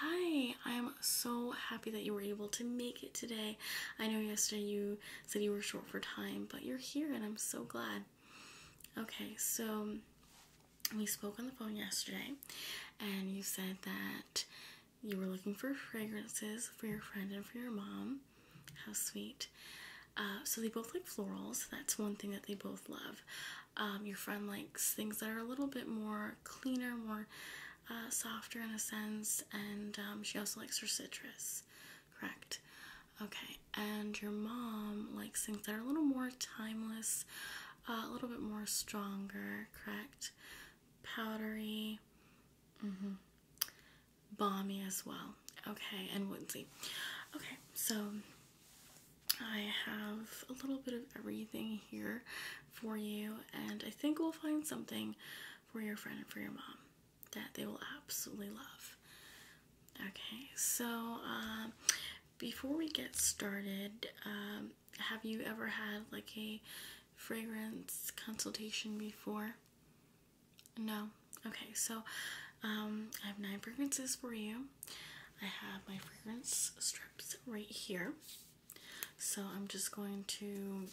Hi, I'm so happy that you were able to make it today. I know yesterday you said you were short for time, but you're here and I'm so glad. Okay, so we spoke on the phone yesterday and you said that you were looking for fragrances for your friend and for your mom. How sweet. Uh, so they both like florals. That's one thing that they both love. Um, your friend likes things that are a little bit more cleaner, more uh, softer in a sense, and um, she also likes her citrus, correct? Okay, and your mom likes things that are a little more timeless, uh, a little bit more stronger, correct? Powdery, mm -hmm. balmy as well. Okay, and woodsy. Okay, so I have a little bit of everything here for you, and I think we'll find something for your friend and for your mom that they will absolutely love. Okay, so um, before we get started, um, have you ever had like a fragrance consultation before? No? Okay, so um, I have nine fragrances for you. I have my fragrance strips right here. So I'm just going to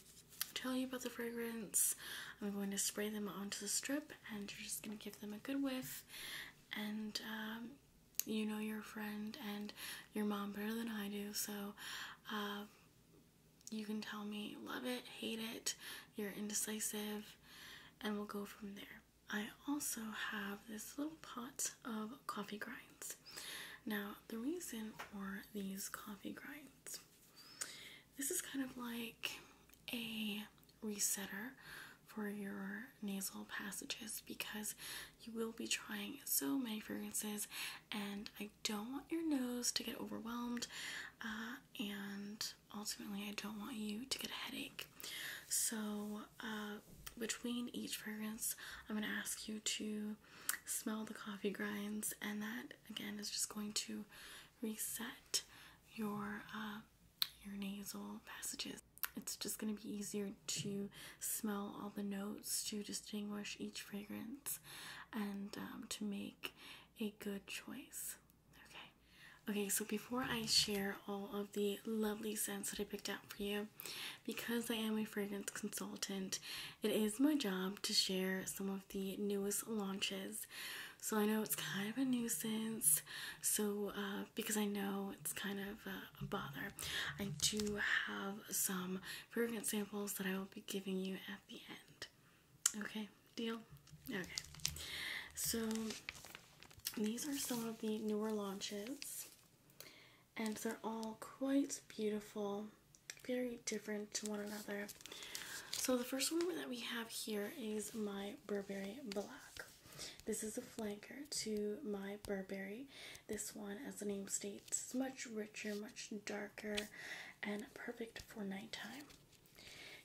tell you about the fragrance. I'm going to spray them onto the strip and you're just going to give them a good whiff. And um, you know your friend and your mom better than I do, so um, you can tell me love it, hate it, you're indecisive, and we'll go from there. I also have this little pot of coffee grinds. Now, the reason for these coffee grinds, this is kind of like a resetter for your nasal passages because you will be trying so many fragrances and I don't want your nose to get overwhelmed uh, and ultimately I don't want you to get a headache. So uh, between each fragrance, I'm going to ask you to smell the coffee grinds, and that again is just going to reset your uh, your nasal passages. It's just going to be easier to smell all the notes to distinguish each fragrance, and um, to make a good choice. Okay. Okay, so before I share all of the lovely scents that I picked out for you, because I am a fragrance consultant, it is my job to share some of the newest launches. So I know it's kind of a nuisance, so uh, because I know it's kind of a bother, I do have some fragrance samples that I will be giving you at the end. Okay, deal? Okay. So these are some of the newer launches and they're all quite beautiful, very different to one another. So the first one that we have here is my Burberry Black. This is a flanker to my Burberry. This one, as the name states, is much richer, much darker, and perfect for nighttime.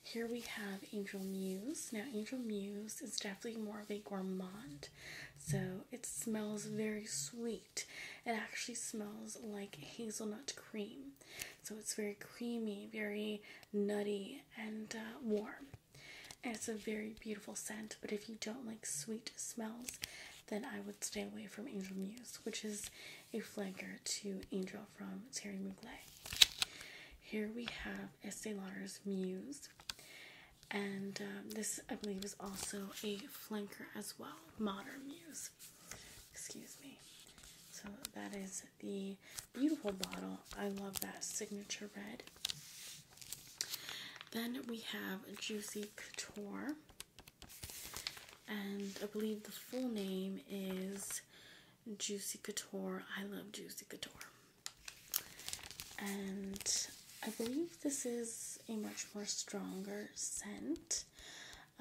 Here we have Angel Muse. Now, Angel Muse is definitely more of a gourmand so it smells very sweet. It actually smells like hazelnut cream. So it's very creamy, very nutty, and uh, warm. And it's a very beautiful scent, but if you don't like sweet smells, then I would stay away from Angel Muse, which is a flanker to Angel from Terry Mugler. Here we have Estee Lauder's Muse, and um, this I believe is also a flanker as well. Modern Muse, excuse me. So that is the beautiful bottle. I love that signature red. Then we have Juicy Couture, and I believe the full name is Juicy Couture. I love Juicy Couture and I believe this is a much more stronger scent.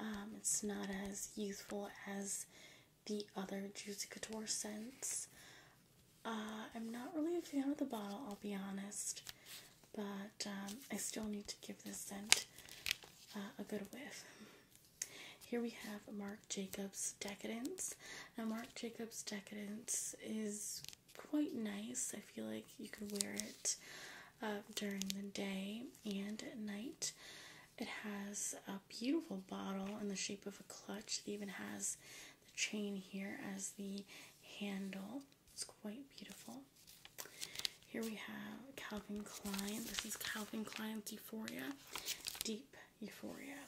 Um, it's not as youthful as the other Juicy Couture scents. Uh, I'm not really a fan of the bottle, I'll be honest, but um, I still need to give this scent uh, a good whiff. Here we have Marc Jacobs Decadence. Now, Marc Jacobs Decadence is quite nice. I feel like you can wear it uh, during the day and at night. It has a beautiful bottle in the shape of a clutch. It even has the chain here as the handle. It's quite beautiful. Here we have Calvin Klein. This is Calvin Klein's Euphoria, Deep Euphoria,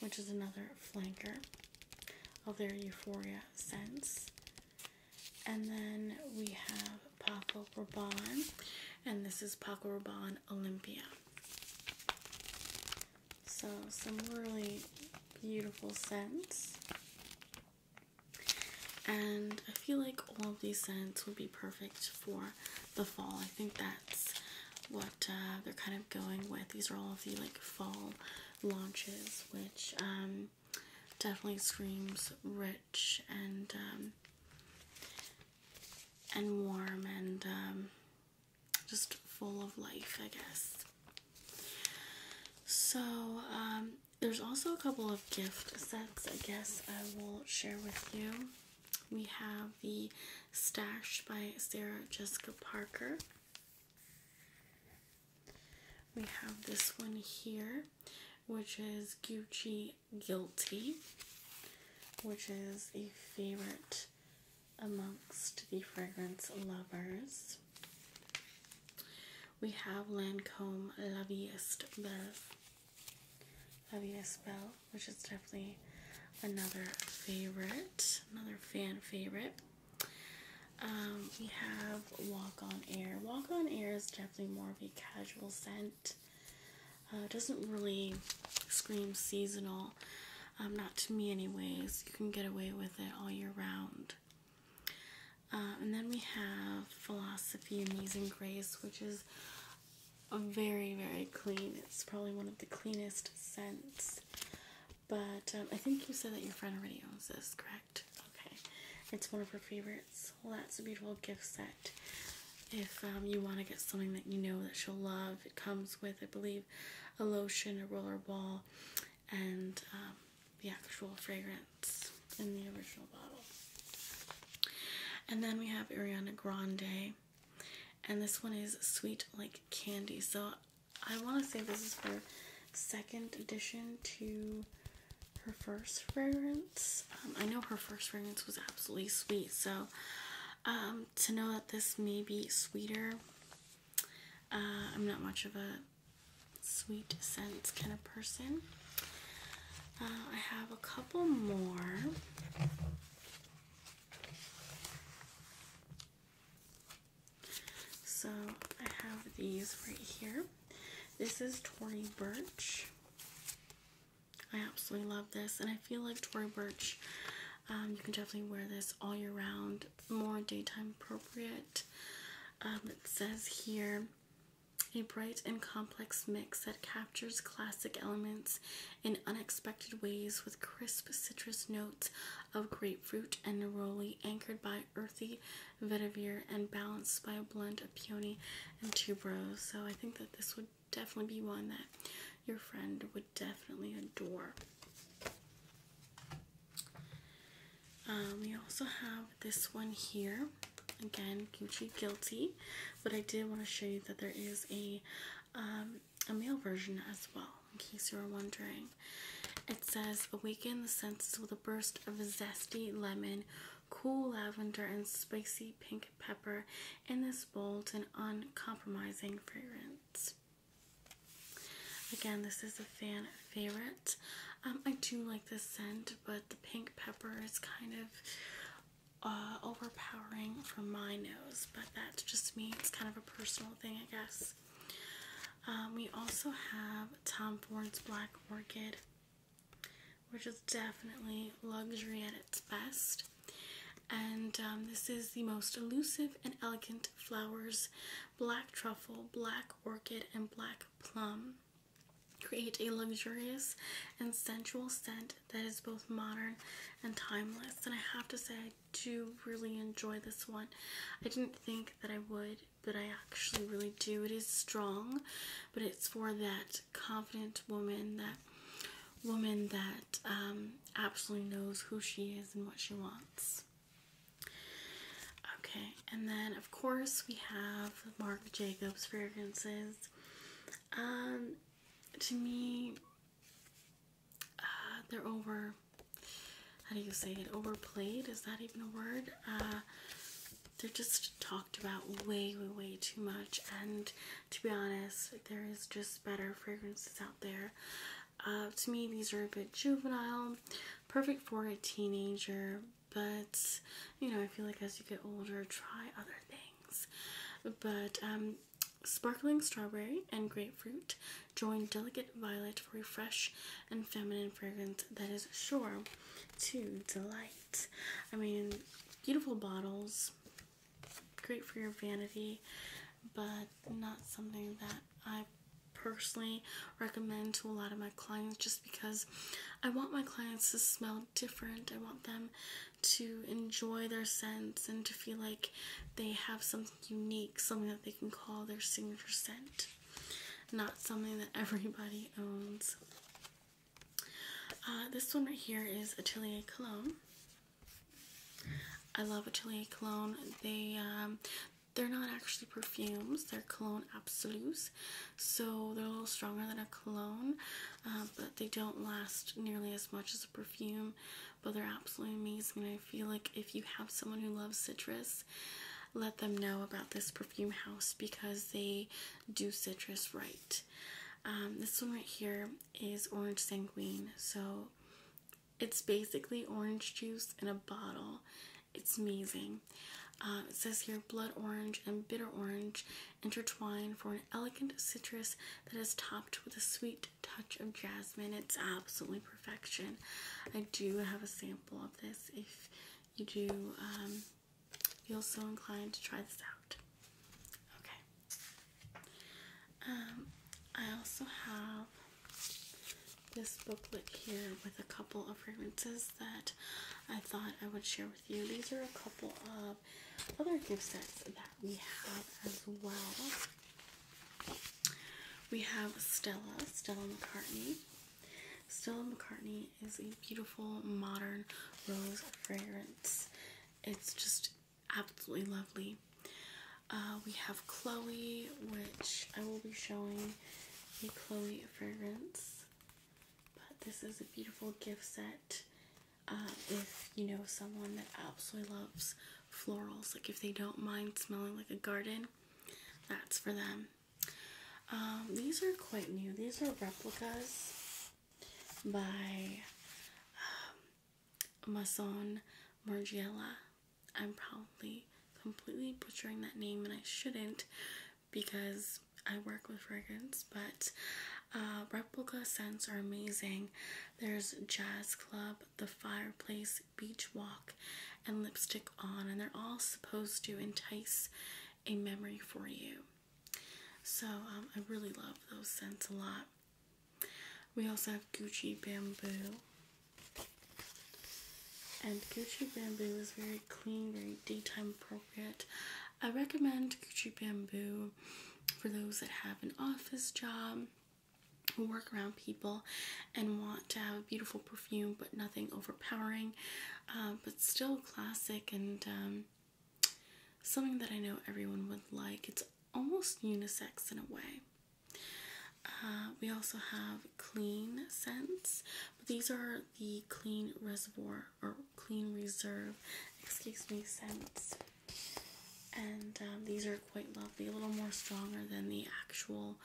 which is another flanker of their Euphoria scents. And then we have Paco Rabanne, and this is Paco Rabanne Olympia. So some really beautiful scents. And I feel like all of these scents would be perfect for the fall. I think that's what uh, they're kind of going with. These are all of the like fall launches, which um, definitely screams rich and um, and warm and um, just full of life, I guess. So there's also a couple of gift sets. I guess I will share with you. We have the Stash by Sarah Jessica Parker. We have this one here, which is Gucci Guilty, which is a favorite amongst the fragrance lovers. We have Lancome La Vie Belle, La Belle, which is definitely another favorite, another fan favorite. Um, we have Walk on Air. Walk on Air is definitely more of a casual scent. Uh, doesn't really scream seasonal. Um, not to me anyways. You can get away with it all year round. Uh, and then we have Philosophy Amazing Grace, which is very, very clean. It's probably one of the cleanest scents. But um, I think you said that your friend already owns this, correct? Okay, it's one of her favorites. Well, that's a beautiful gift set. If um, you want to get something that you know that she'll love, it comes with, I believe, a lotion, a roller ball, and um, the actual fragrance in the original bottle. And then we have Ariana Grande, and this one is sweet like candy. So I want to say this is her second edition to her first fragrance. Um, I know her first fragrance was absolutely sweet, so um, to know that this may be sweeter, uh, I'm not much of a sweet scent kind of person. Uh, I have a couple more. So I have these right here. This is Tory Burch. I absolutely love this, and I feel like Tory Burch. Um, you can definitely wear this all year round, more daytime appropriate. Um, it says here a bright and complex mix that captures classic elements in unexpected ways with crisp citrus notes of grapefruit and neroli anchored by earthy vetiver, and balanced by a blend of peony and tuberose. So I think that this would definitely be one that your friend would definitely adore. Um, we also have this one here. Again, Gucci Guilty, but I did want to show you that there is a um, a male version as well in case you were wondering. It says, Awaken the senses with a burst of zesty lemon, cool lavender, and spicy pink pepper in this bold and uncompromising fragrance. Again, this is a fan favorite. Um, I do like this scent, but the pink pepper is kind of uh, overpowering for my nose, but that's just me. It's kind of a personal thing, I guess. Um, we also have Tom Ford's Black Orchid, which is definitely luxury at its best. And um, this is the most elusive and elegant flowers black truffle, black orchid, and black plum create a luxurious and sensual scent that is both modern and timeless. And I have to say, I do really enjoy this one. I didn't think that I would but I actually really do. It is strong, but it's for that confident woman, that woman that um, absolutely knows who she is and what she wants. Okay, and then of course we have Marc Jacobs fragrances. Um, to me, uh, they're over how do you say it overplayed is that even a word uh, they're just talked about way way way too much and to be honest there is just better fragrances out there uh, to me these are a bit juvenile perfect for a teenager but you know i feel like as you get older try other things but um, sparkling strawberry and grapefruit join delicate violet for a fresh and feminine fragrance that is sure to delight. I mean, beautiful bottles, great for your vanity, but not something that I personally recommend to a lot of my clients just because I want my clients to smell different. I want them to enjoy their scents and to feel like they have something unique, something that they can call their signature scent not something that everybody owns. Uh, this one right here is Atelier Cologne. I love Atelier Cologne. They um, they're not actually perfumes. They're cologne absolutes, so they're a little stronger than a cologne, uh, but they don't last nearly as much as a perfume. But they're absolutely amazing. I feel like if you have someone who loves citrus, let them know about this perfume house because they do citrus right. Um, this one right here is Orange Sanguine. So it's basically orange juice in a bottle. It's amazing. Um, it says here blood orange and bitter orange intertwined for an elegant citrus that is topped with a sweet touch of jasmine. It's absolutely perfection. I do have a sample example of this if you do um, feel so inclined to try this out. Okay. Um, I also have this booklet here with a couple of fragrances that I thought I would share with you. These are a couple of other gift sets that we have as well. We have Stella, Stella McCartney, Stella McCartney is a beautiful modern rose fragrance. It's just absolutely lovely. Uh, we have Chloe, which I will be showing a Chloe fragrance. But this is a beautiful gift set. Uh, if you know someone that absolutely loves florals, like if they don't mind smelling like a garden, that's for them. Um, these are quite new. These are replicas by um, Mason Margiela. I'm probably completely butchering that name, and I shouldn't because I work with fragrance, but uh, replica scents are amazing. There's Jazz Club, The Fireplace, beach walk and lipstick on, and they're all supposed to entice a memory for you. So, um, I really love those scents a lot. We also have Gucci Bamboo. And Gucci Bamboo is very clean, very daytime appropriate. I recommend Gucci Bamboo for those that have an office job, who work around people, and want to have a beautiful perfume but nothing overpowering, uh, but still classic and um, something that I know everyone would like. It's almost unisex in a way. Uh, we also have clean scents, these are the clean reservoir or clean reserve, excuse me, scents. And um, these are quite lovely, a little more stronger than the actual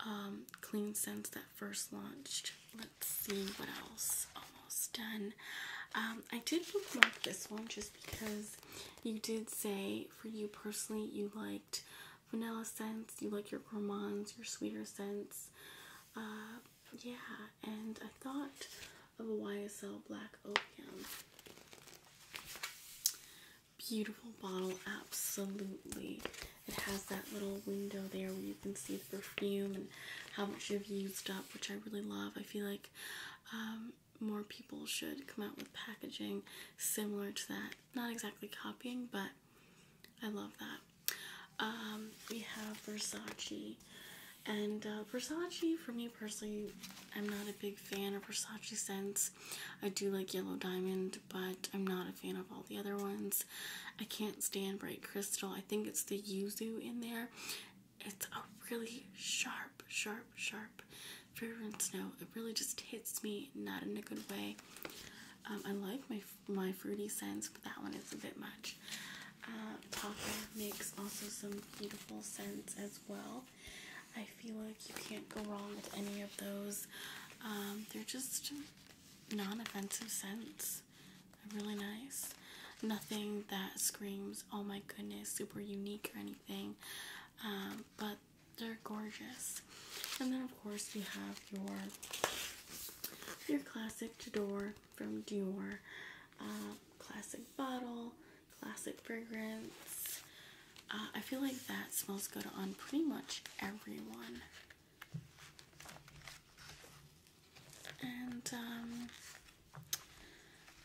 um, clean scents that first launched. Let's see what else. Almost done. Um, I did bookmark this one just because you did say for you personally you liked vanilla scents, you like your gourmands, your sweeter scents. Uh, yeah, and I thought of a YSL Black Opium. Beautiful bottle, absolutely. It has that little window there where you can see the perfume and how much you've used up, which I really love. I feel like um, more people should come out with packaging similar to that. Not exactly copying, but I love that. Um, we have Versace. And uh, Versace, for me personally, I'm not a big fan of Versace scents. I do like Yellow Diamond, but I'm not a fan of all the other ones. I can't stand Bright Crystal. I think it's the yuzu in there. It's a really sharp, sharp, sharp fragrant snow. It really just hits me, not in a good way. Um, I like my my fruity scents, but that one is a bit much. Uh, makes also some beautiful scents as well. I feel like you can't go wrong with any of those. Um, they're just non offensive scents. really nice. Nothing that screams, oh my goodness, super unique or anything. Um, but they're gorgeous. And then, of course, we have your your classic Dior from Dior, uh, classic bottle, classic fragrance. Uh, I feel like that smells good on pretty much everyone. And um,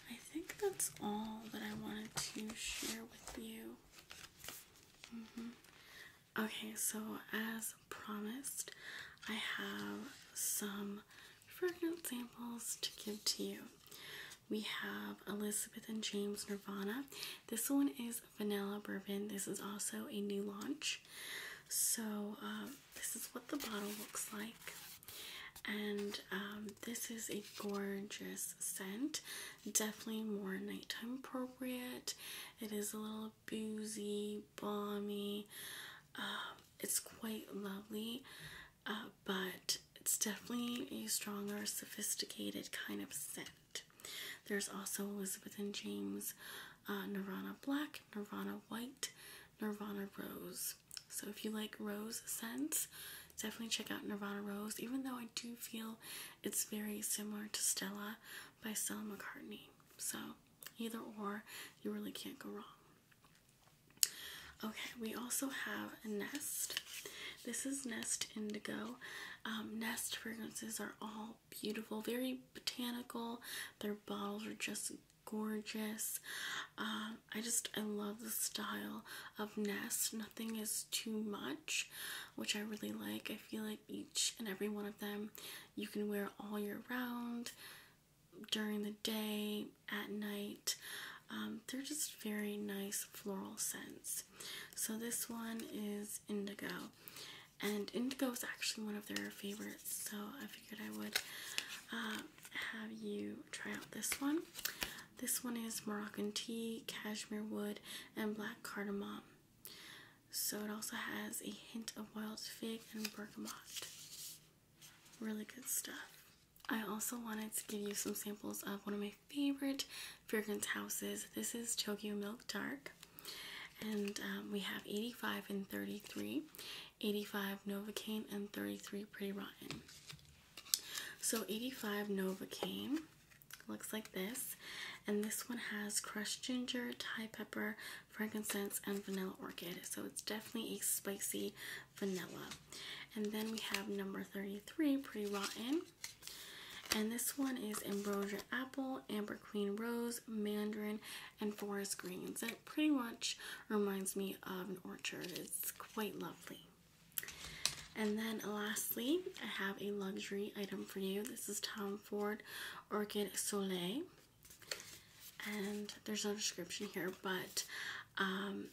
I think that's all that I wanted to share with you. Mm-hmm. Okay, so as promised, I have some fragrance samples to give to you. We have Elizabeth and James Nirvana. This one is vanilla bourbon. This is also a new launch. So, um, this is what the bottle looks like. And um, this is a gorgeous scent. Definitely more nighttime appropriate. It is a little boozy, balmy. Um, it's quite lovely, uh, but it's definitely a stronger, sophisticated kind of scent. There's also Elizabeth and James uh, Nirvana Black, Nirvana White, Nirvana Rose. So if you like rose scents, definitely check out Nirvana Rose, even though I do feel it's very similar to Stella by Stella McCartney. So either or, you really can't go wrong. Okay, we also have Nest. This is Nest Indigo. Um, Nest fragrances are all beautiful, very botanical. Their bottles are just gorgeous. Um, I just I love the style of Nest. Nothing is too much, which I really like. I feel like each and every one of them you can wear all year round, during the day, at night. Um, they're just very nice floral scents. So this one is indigo and indigo is actually one of their favorites, so I figured I would um, have you try out this one. This one is Moroccan tea, cashmere wood, and black cardamom. So it also has a hint of wild fig and bergamot. Really good stuff. I also wanted to give you some samples of one of my favorite fragrance houses. This is Tokyo Milk Dark. And um, we have 85 and 33, 85 Novocaine and 33 Pretty Rotten. So 85 Novocaine looks like this, and this one has crushed ginger, Thai pepper, frankincense, and vanilla orchid. So it's definitely a spicy vanilla. And then we have number 33, Pretty Rotten. And this one is Ambrosia Apple, Amber Queen Rose, Mandarin, and Forest Greens. It pretty much reminds me of an orchard. It's quite lovely. And then lastly, I have a luxury item for you. This is Tom Ford Orchid Soleil. And there's no description here, but um,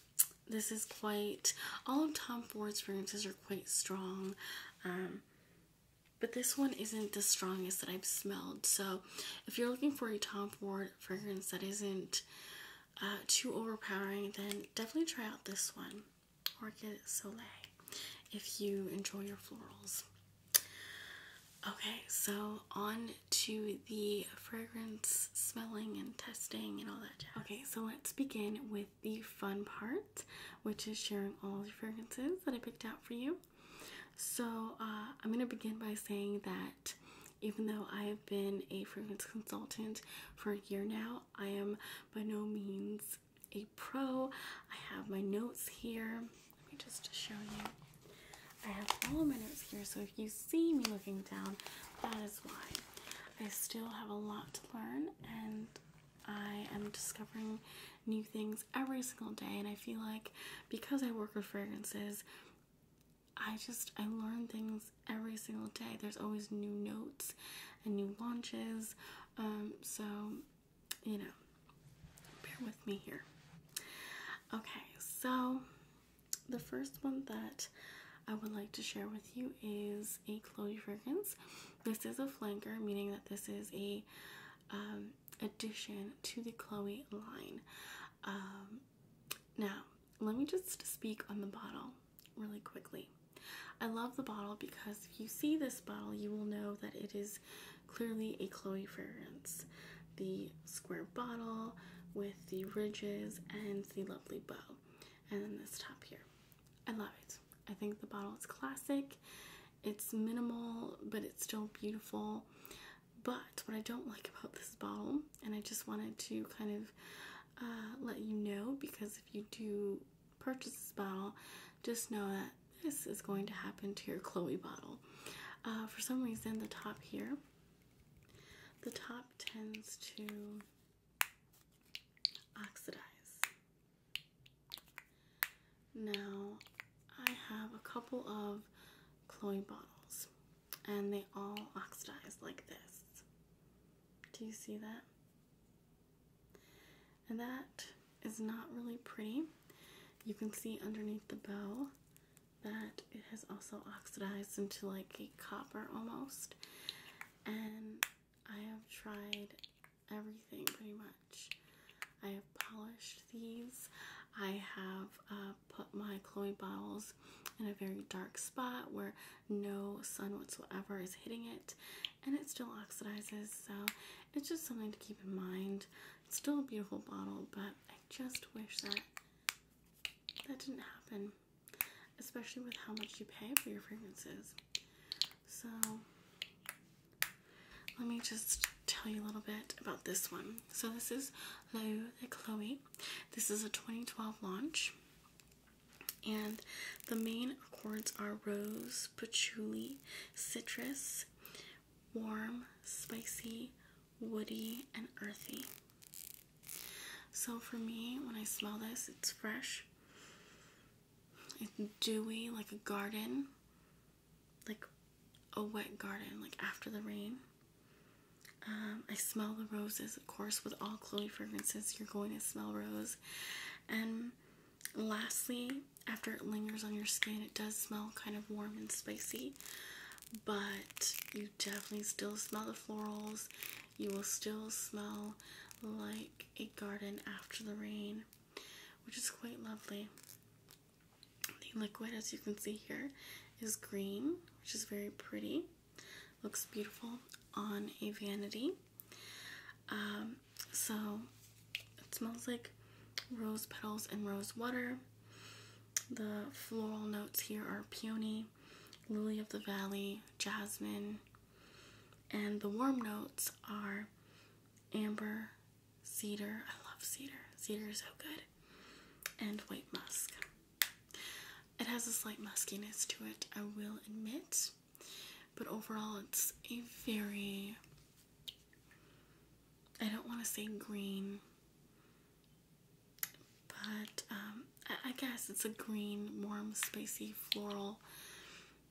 this is quite, all of Tom Ford's fragrances are quite strong. Um, but this one isn't the strongest that I've smelled. So, if you're looking for a top Ford fragrance that isn't uh, too overpowering, then definitely try out this one, Orchid Soleil, if you enjoy your florals. Okay, so on to the fragrance smelling and testing and all that Okay, so let's begin with the fun part, which is sharing all the fragrances that I picked out for you. So, uh, I'm going to begin by saying that even though I have been a fragrance consultant for a year now, I am by no means a pro. I have my notes here. Let me just show you. I have all my notes here, so if you see me looking down, that is why. I still have a lot to learn, and I am discovering new things every single day, and I feel like because I work with fragrances, I just I learn things every single day. There's always new notes and new launches, um, so you know, bear with me here. Okay, so the first one that I would like to share with you is a Chloe fragrance. This is a flanker, meaning that this is a um, addition to the Chloe line. Um, now, let me just speak on the bottle really quickly. I love the bottle because if you see this bottle, you will know that it is clearly a Chloe fragrance. The square bottle with the ridges and the lovely bow, and then this top here. I love it. I think the bottle is classic. It's minimal, but it's still beautiful. But what I don't like about this bottle, and I just wanted to kind of uh, let you know because if you do purchase this bottle, just know that this is going to happen to your Chloe bottle. Uh, for some reason, the top here, the top tends to oxidize. Now, I have a couple of Chloe bottles, and they all oxidize like this. Do you see that? And that is not really pretty. You can see underneath the bow that it has also oxidized into like a copper almost. And I have tried everything pretty much. I have polished these. I have uh, put my Chloe bottles in a very dark spot where no sun whatsoever is hitting it and it still oxidizes so it's just something to keep in mind. It's still a beautiful bottle but I just wish that that didn't happen especially with how much you pay for your fragrances. So let me just tell you a little bit about this one. So this is Loewe the Chloe. This is a 2012 launch. And the main accords are rose, patchouli, citrus, warm, spicy, woody, and earthy. So for me, when I smell this, it's fresh. It's dewy like a garden, like a wet garden, like after the rain. Um, I smell the roses, of course, with all Chloe fragrances, you're going to smell rose. And lastly, after it lingers on your skin, it does smell kind of warm and spicy, but you definitely still smell the florals. You will still smell like a garden after the rain which is quite lovely. The liquid, as you can see here, is green, which is very pretty. Looks beautiful on a vanity. Um, so it smells like rose petals and rose water. The floral notes here are peony, lily of the valley, jasmine, and the warm notes are amber, cedar. I love cedar. Cedar is so good. And white musk. It has a slight muskiness to it, I will admit. But overall, it's a very, I don't want to say green, but um, I guess it's a green, warm, spicy, floral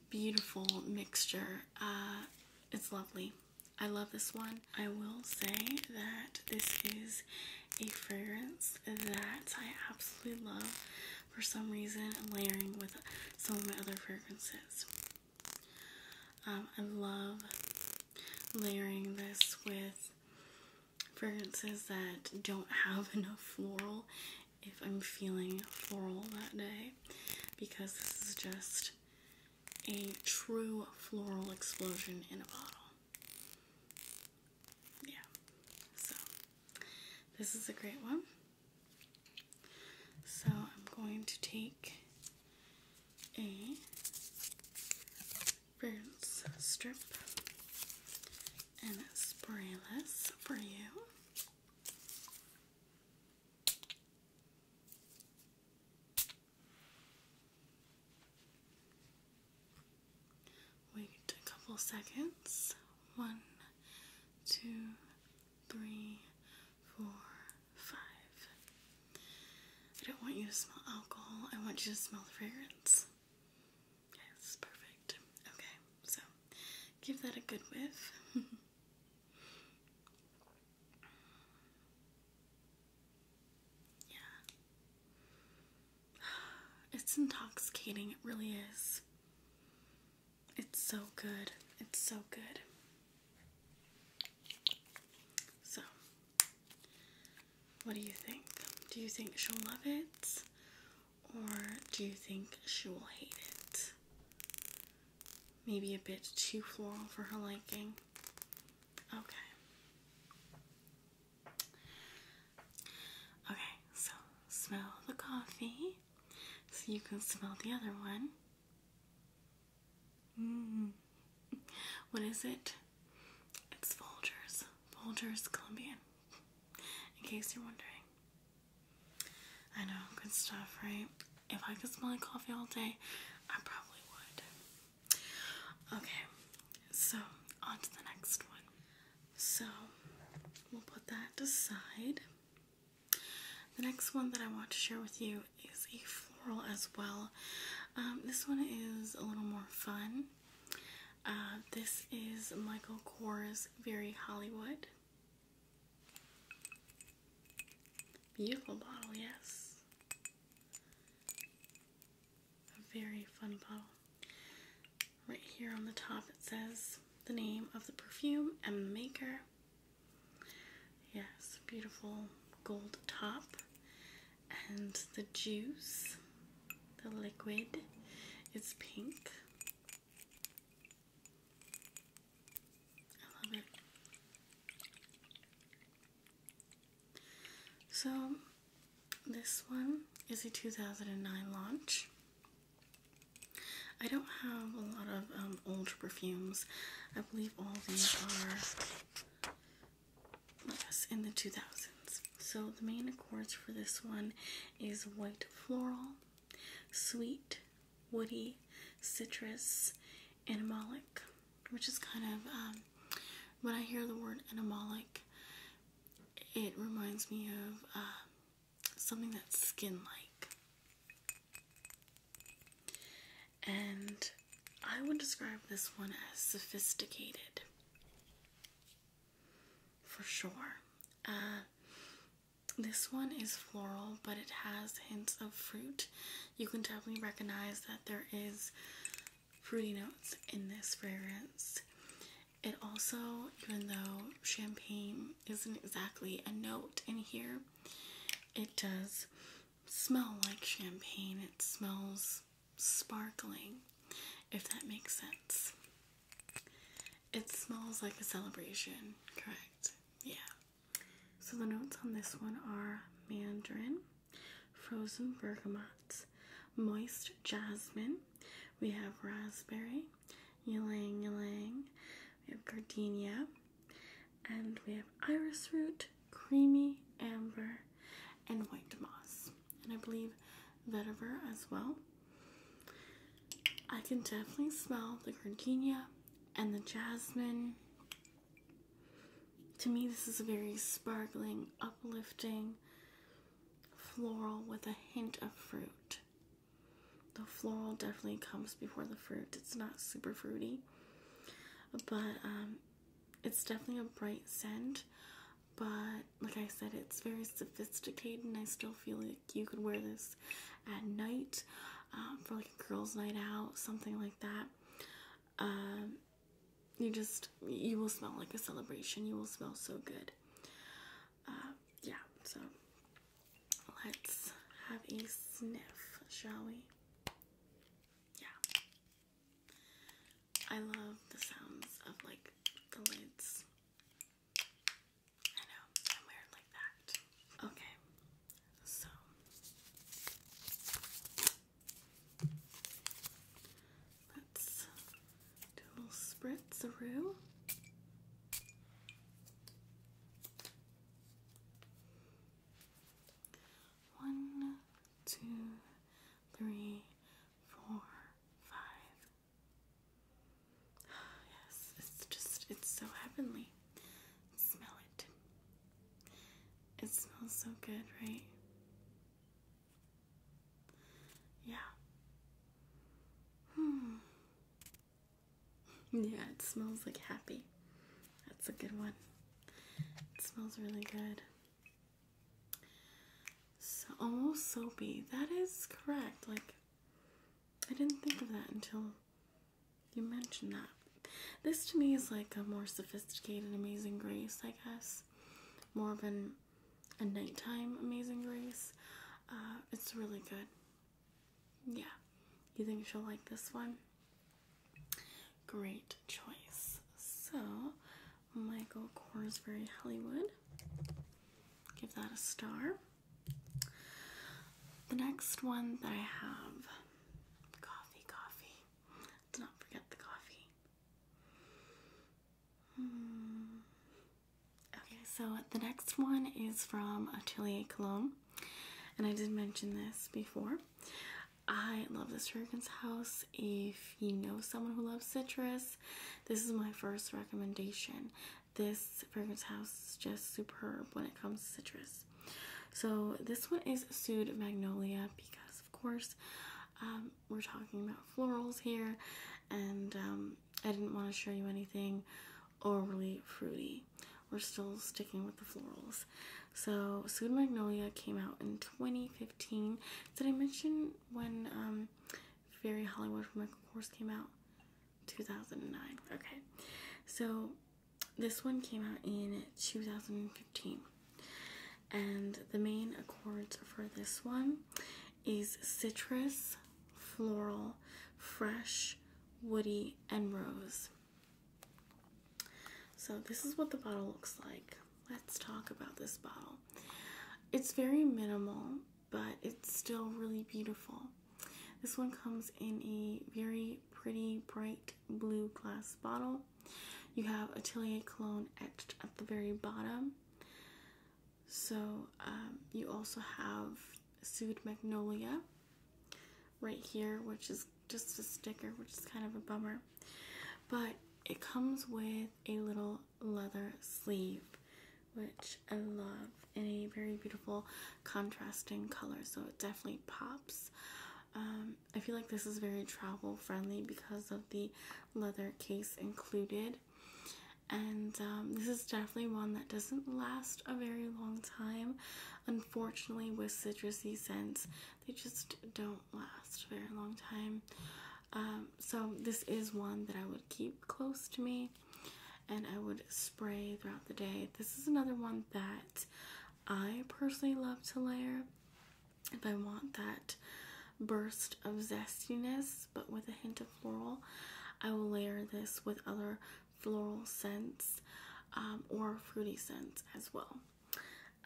beautiful mixture. Uh, it's lovely. I love this one. I will say that this is a fragrance that I absolutely love for some reason layering with some of my other fragrances. Um, I love layering this with fragrances that don't have enough floral if I'm feeling floral that day because this is just a true floral explosion in a bottle. Yeah, so this is a great one. So I'm going to take a rinse strip and spray this for you. Wait a couple seconds. One, two, three, four, five. I don't want you to smell alcohol, I want you to smell the fragrance. Yes, perfect. Okay, so give that a good whiff. Yeah. It's intoxicating, it really is. It's so good. It's so good. So, what do you think? Do you think she'll love it? Or do you think she will hate it? maybe a bit too floral for her liking. Okay. Okay, so smell the coffee so you can smell the other one. Mm. What is it? It's Folgers. Folgers Colombian. In case you're wondering. I know, good stuff, right? If I could smell like coffee all day, I probably would. Okay, so on to the next one. So we'll put that aside. The next one that I want to share with you is a floral as well. Um, this one is a little more fun. Uh, this is Michael Kors Very Hollywood. Beautiful bottle, yes. A very fun bottle. Right here on the top it says the name of the perfume and the maker. Yes, beautiful gold top. And the juice, the liquid, is pink. I love it. So, this one is a 2009 launch. I don't have a lot of um, old perfumes. I believe all these are yes, in the 2000s. So the main accords for this one is white floral, sweet, woody, citrus, animalic, which is kind of um, when I hear the word animalic, it reminds me of uh, something that's skin like. And I would describe this one as sophisticated for sure. Uh, this one is floral, but it has hints of fruit. You can definitely recognize that there is fruity notes in this fragrance. It also, even though champagne isn't exactly a note in here, it does smell like champagne. It smells sparkling, if that makes sense. It smells like a celebration, correct? Yeah. So the notes on this one are mandarin, frozen bergamot, moist jasmine, we have raspberry, ylang ylang, we have gardenia, and we have iris root, creamy amber, and white moss. And I believe vetiver as well. I can definitely smell the gardenia and the jasmine. To me, this is a very sparkling, uplifting floral with a hint of fruit. The floral definitely comes before the fruit. It's not super fruity, but um, it's definitely a bright scent. But like I said, it's very sophisticated, and I still feel like you could wear this at night. Um, for like a girls' night out, something like that. Um, you just you will smell like a celebration. You will smell so good. Uh, yeah. So let's have a sniff, shall we? Yeah. I love the sounds of like the lids I know, I'm weird like that. Okay, so let's do a little spritz-a-roo. One, two, four, five yes, it's just, it's so heavenly. Smell it. It smells so good, right? Yeah. Hmm. Yeah, it smells like happy. That's a good one. It smells really good. So almost oh, soapy. That is correct. Like I didn't think of that until you mentioned that. This to me is like a more sophisticated Amazing Grace, I guess. More of a nighttime Amazing Grace. Uh, it's really good. Yeah. You think she'll like this one? Great choice. So, Michael Corsberry Hollywood. Give that a star. The next one that I have coffee, coffee. let not forget the coffee. Hmm. Okay, so the next one is from Atelier Cologne. And I did mention this before. I love this Fragrance House. If you know someone who loves citrus, this is my first recommendation. This fragrance house is just superb when it comes to citrus. So this one is Sued Magnolia because of course um, we're talking about florals here and um, I didn't want to show you anything overly fruity. We're still sticking with the florals. So Sued Magnolia came out in 2015. Did I mention when um, Fairy Hollywood from Michael Kors came out? 2009. Okay. So this one came out in 2015, and the main accords for this one is citrus, floral, fresh, woody, and rose. So, this is what the bottle looks like. Let's talk about this bottle. It's very minimal, but it's still really beautiful. This one comes in a very pretty bright blue glass bottle. You have Atelier Cologne etched at the very bottom. So um, you also have Sued Magnolia right here, which is just a sticker, which is kind of a bummer. But it comes with a little leather sleeve, which I love in a very beautiful contrasting color, so it definitely pops. Um, I feel like this is very travel friendly because of the leather case included. And um, this is definitely one that doesn't last a very long time. Unfortunately, with citrusy scents, they just don't last very long time. Um, so this is one that I would keep close to me and I would spray throughout the day. This is another one that I personally love to layer if I want that burst of zestiness but with a hint of floral. I will layer this with other floral scents um, or fruity scents as well.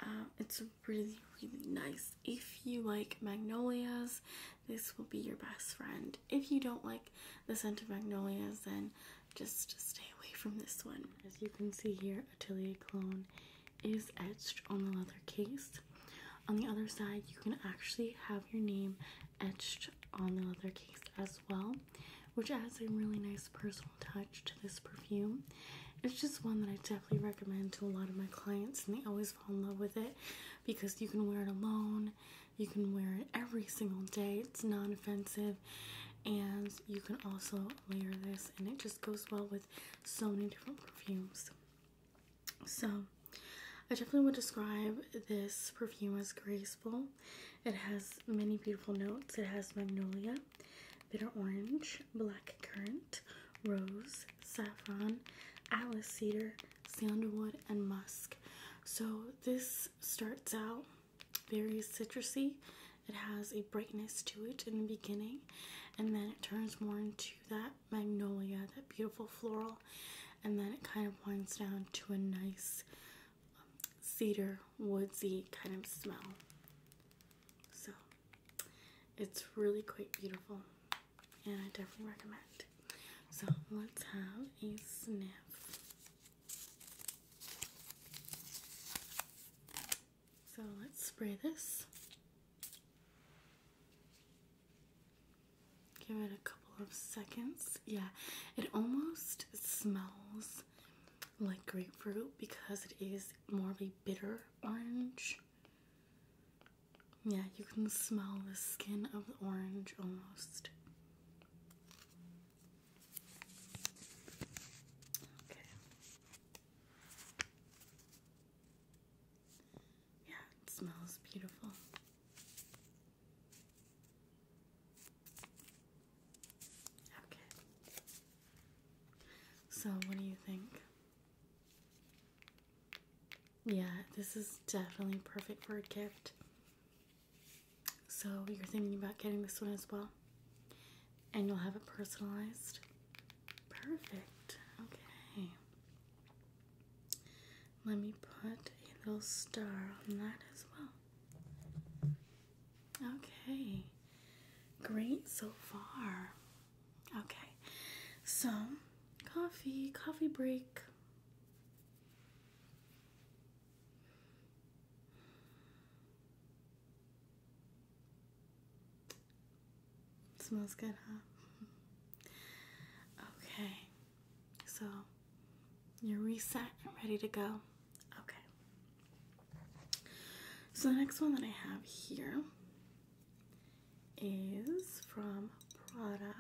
Um, it's really, really nice. If you like magnolias, this will be your best friend if you don't like the scent of magnolias, then just stay away from this one. As you can see here, Atelier Cologne is etched on the leather case. On the other side, you can actually have your name etched on the leather case as well, which adds a really nice personal touch to this perfume. It's just one that I definitely recommend to a lot of my clients, and they always fall in love with it because you can wear it alone. You can wear it every single day. It's non offensive, and you can also layer this, and it just goes well with so many different perfumes. So, I definitely would describe this perfume as graceful. It has many beautiful notes. It has magnolia, bitter orange, black currant, rose, saffron, alice cedar, sandalwood, and musk. So this starts out very citrusy. It has a brightness to it in the beginning, and then it turns more into that magnolia, that beautiful floral, and then it kind of winds down to a nice um, cedar woodsy kind of smell. So it's really quite beautiful, and I definitely recommend. So let's have a sniff. So let's spray this. Give it a couple of seconds. Yeah, it almost smells like grapefruit because it is more of a bitter orange. Yeah, you can smell the skin of the orange almost. Okay. Yeah, it smells beautiful. Okay. So, what do you think? Yeah, this is definitely perfect for a gift. So you're thinking about getting this one as well? And you'll have it personalized? Perfect. Okay. Let me put a little star on that as well. Okay. Great so far. Okay. So, coffee, coffee break. Smells good, huh? Okay, so you're reset and ready to go. Okay. So the next one that I have here is from Prada.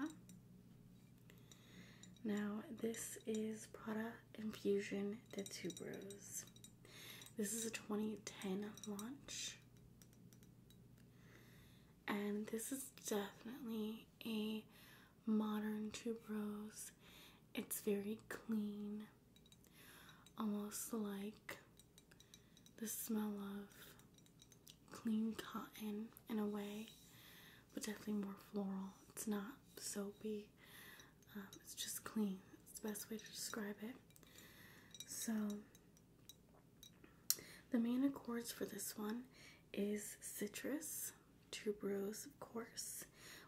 Now, this is Prada Infusion the Tuberose. This is a 2010 launch. And this is definitely a modern tuberose. It's very clean, almost like the smell of clean cotton in a way but definitely more floral. It's not soapy. Um, it's just clean. It's the best way to describe it. So the main accords for this one is citrus, tuberose, of course.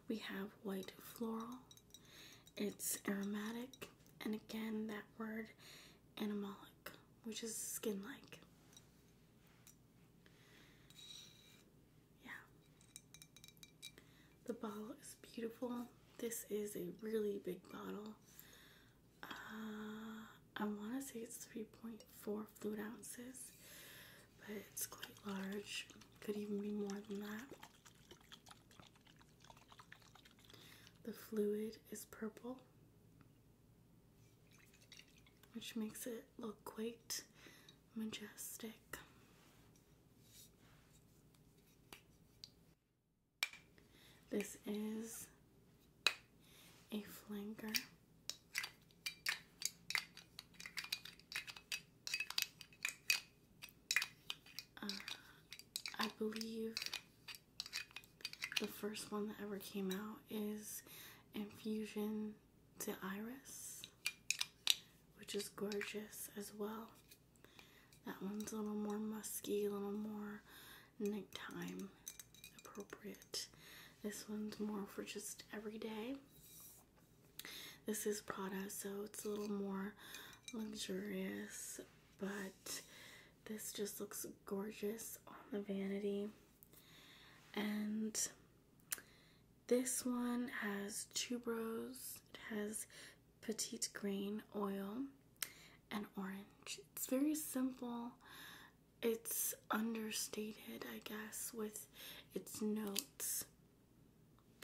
We have white floral. It's aromatic, and again that word animalic, which is skin-like yeah. The bottle is beautiful. This is a really big bottle. Uh, I want to say it's 3.4 fluid ounces, but it's quite large. Could even be more than that. The fluid is purple, which makes it look quite majestic. This is a flanker. Uh, I believe the first one that ever came out is Infusion to Iris, which is gorgeous as well. That one's a little more musky, a little more nighttime appropriate. This one's more for just everyday. This is Prada, so it's a little more luxurious, but this just looks gorgeous on the vanity. And this one has tuberose, it has petit grain oil, and orange. It's very simple. It's understated, I guess, with its notes.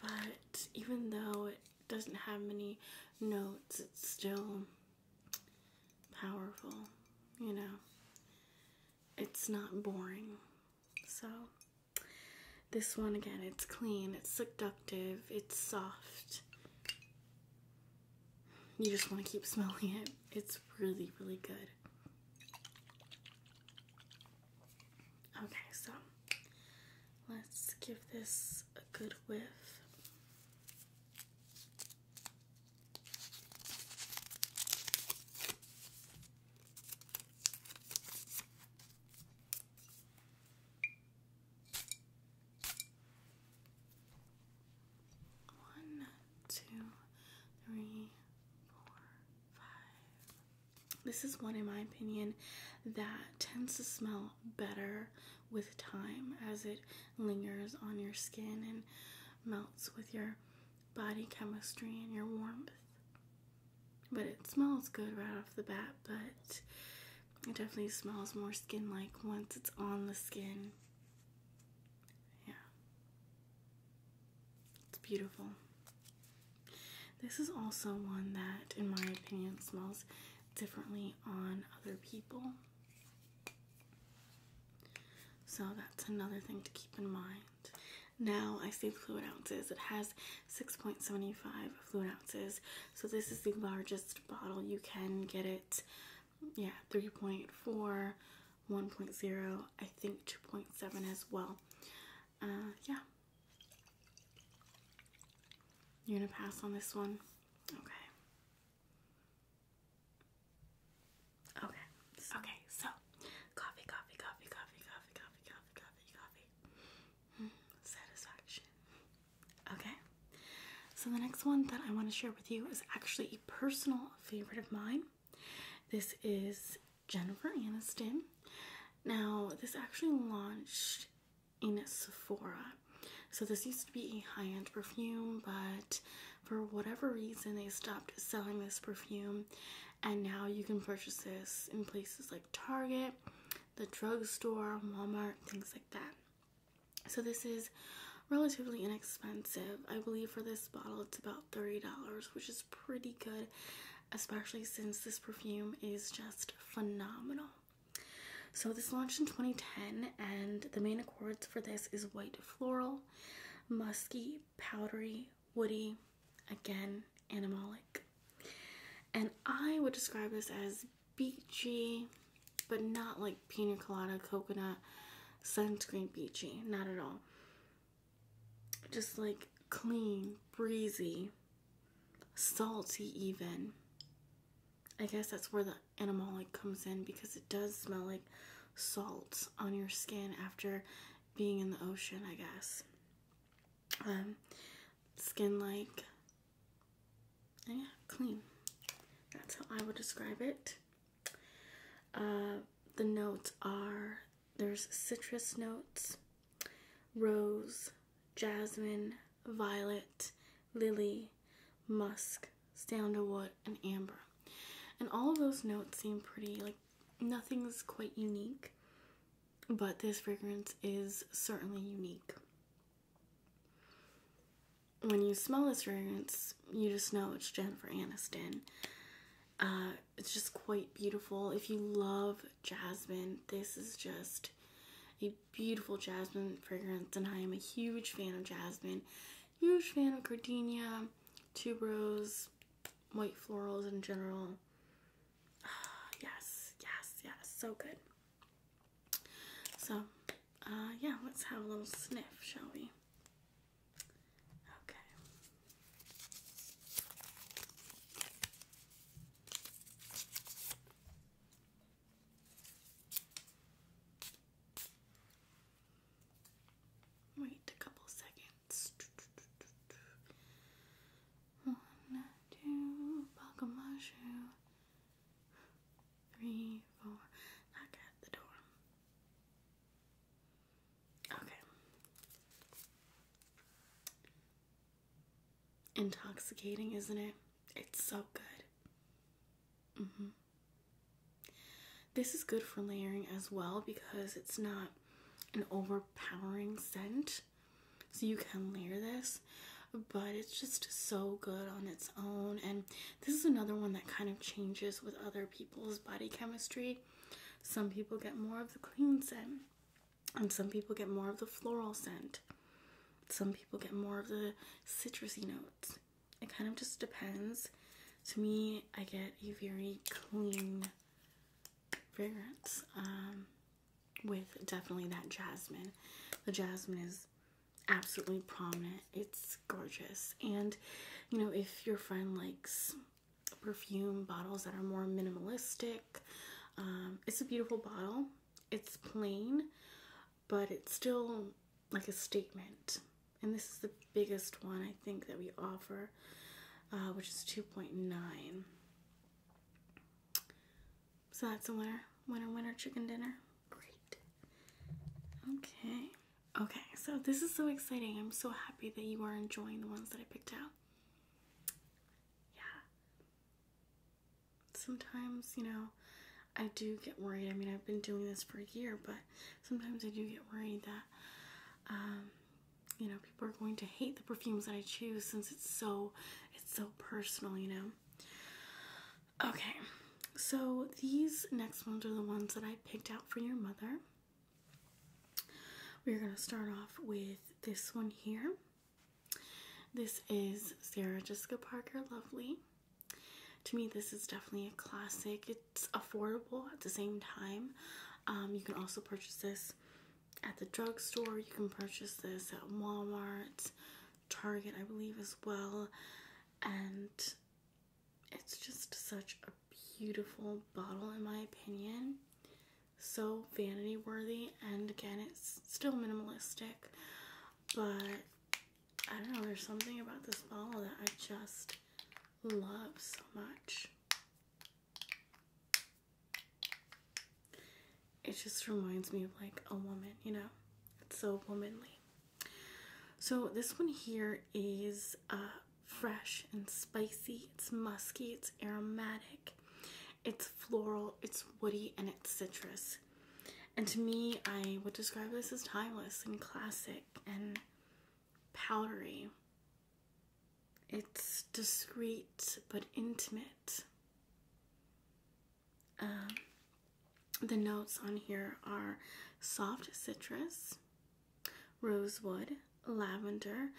But even though it doesn't have many notes, it's still powerful, you know. It's not boring. So this one again, it's clean, it's seductive, it's soft. You just want to keep smelling it. It's really, really good. Okay, so let's give this a good whiff. One, two, three, four, five. This is one, in my opinion, that tends to smell better with time as it lingers on your skin and melts with your body chemistry and your warmth but it smells good right off the bat, but it definitely smells more skin like once it's on the skin. Yeah. It's beautiful. This is also one that, in my opinion, smells differently on other people. So that's another thing to keep in mind. Now I see fluid ounces. It has 6.75 fluid ounces. So this is the largest bottle you can get it. Yeah, 3.4, 1.0, I think 2.7 as well. Uh, yeah. You're gonna pass on this one? Okay. Okay. Okay, so Coffee, coffee, coffee, coffee, coffee, coffee, coffee, coffee, coffee. Hmm, satisfaction. Okay. So the next one that I want to share with you is actually a personal favorite of mine. This is Jennifer Aniston. Now, this actually launched in Sephora. So, this used to be a high end perfume, but for whatever reason, they stopped selling this perfume and now you can purchase this in places like Target, the drugstore, Walmart, things like that. So this is relatively inexpensive. I believe for this bottle it's about $30, which is pretty good, especially since this perfume is just phenomenal. So this launched in 2010 and the main accords for this is white floral, musky, powdery, woody, again, animalic. And I would describe this as beachy, but not like pina colada, coconut, sunscreen beachy. Not at all. Just like clean, breezy, salty, even. I guess that's where the animalic comes in because it does smell like salt on your skin after being in the ocean, I guess um, skin like, yeah, clean. That's how I would describe it. Uh, the notes are there's citrus notes, rose, jasmine, violet, lily, musk, sandalwood, and amber. And all those notes seem pretty like nothing's quite unique, but this fragrance is certainly unique. When you smell this fragrance, you just know it's Jennifer Aniston. Uh, it's just quite beautiful. If you love jasmine, this is just a beautiful jasmine fragrance, and I am a huge fan of jasmine, huge fan of Cardinia, tuberose, white florals in general. yes, yes, yes, so good. So, uh, yeah, let's have a little sniff, shall we? Okay. Wait a couple seconds. One, two, buckle my shoe. Three, four, knock at the door. Okay. Intoxicating, isn't it? It's so good. hmm This is good for layering as well because it's not an overpowering scent. So you can layer this, but it's just so good on its own. And this is another one that kind of changes with other people's body chemistry. Some people get more of the clean scent, and some people get more of the floral scent. Some people get more of the citrusy notes. It kind of just depends. To me, I get a very clean fragrance um, with definitely that jasmine. The jasmine is absolutely prominent. It's gorgeous. And, you know, if your friend likes perfume bottles that are more minimalistic, um, it's a beautiful bottle. It's plain, but it's still like a statement. And this is the biggest one I think that we offer uh, which is 2.9. So that's a winner. Winner, winner, chicken dinner. Great. Okay. Okay, so this is so exciting. I'm so happy that you are enjoying the ones that I picked out. Yeah. Sometimes, you know, I do get worried. I mean, I've been doing this for a year, but sometimes I do get worried that um, you know people are going to hate the perfumes that I choose since it's so it's so personal, you know. Okay. So these next ones are the ones that I picked out for your mother. We're going to start off with this one here. This is Sarah Jessica Parker Lovely. To me, this is definitely a classic. It's affordable at the same time. Um, you can also purchase this at the drugstore. You can purchase this at Walmart, Target, I believe, as well. And it's just such a beautiful bottle, in my opinion. So vanity worthy, and again, it's still minimalistic, but I don't know, there's something about this bottle that I just love so much. It just reminds me of like a woman, you know? It's so womanly. So this one here is uh, fresh and spicy. It's musky, it's aromatic, it's floral, it's woody, and it's citrus. And to me, I would describe this as timeless and classic and powdery it's discreet but intimate. Um, the notes on here are soft citrus, rosewood, lavender.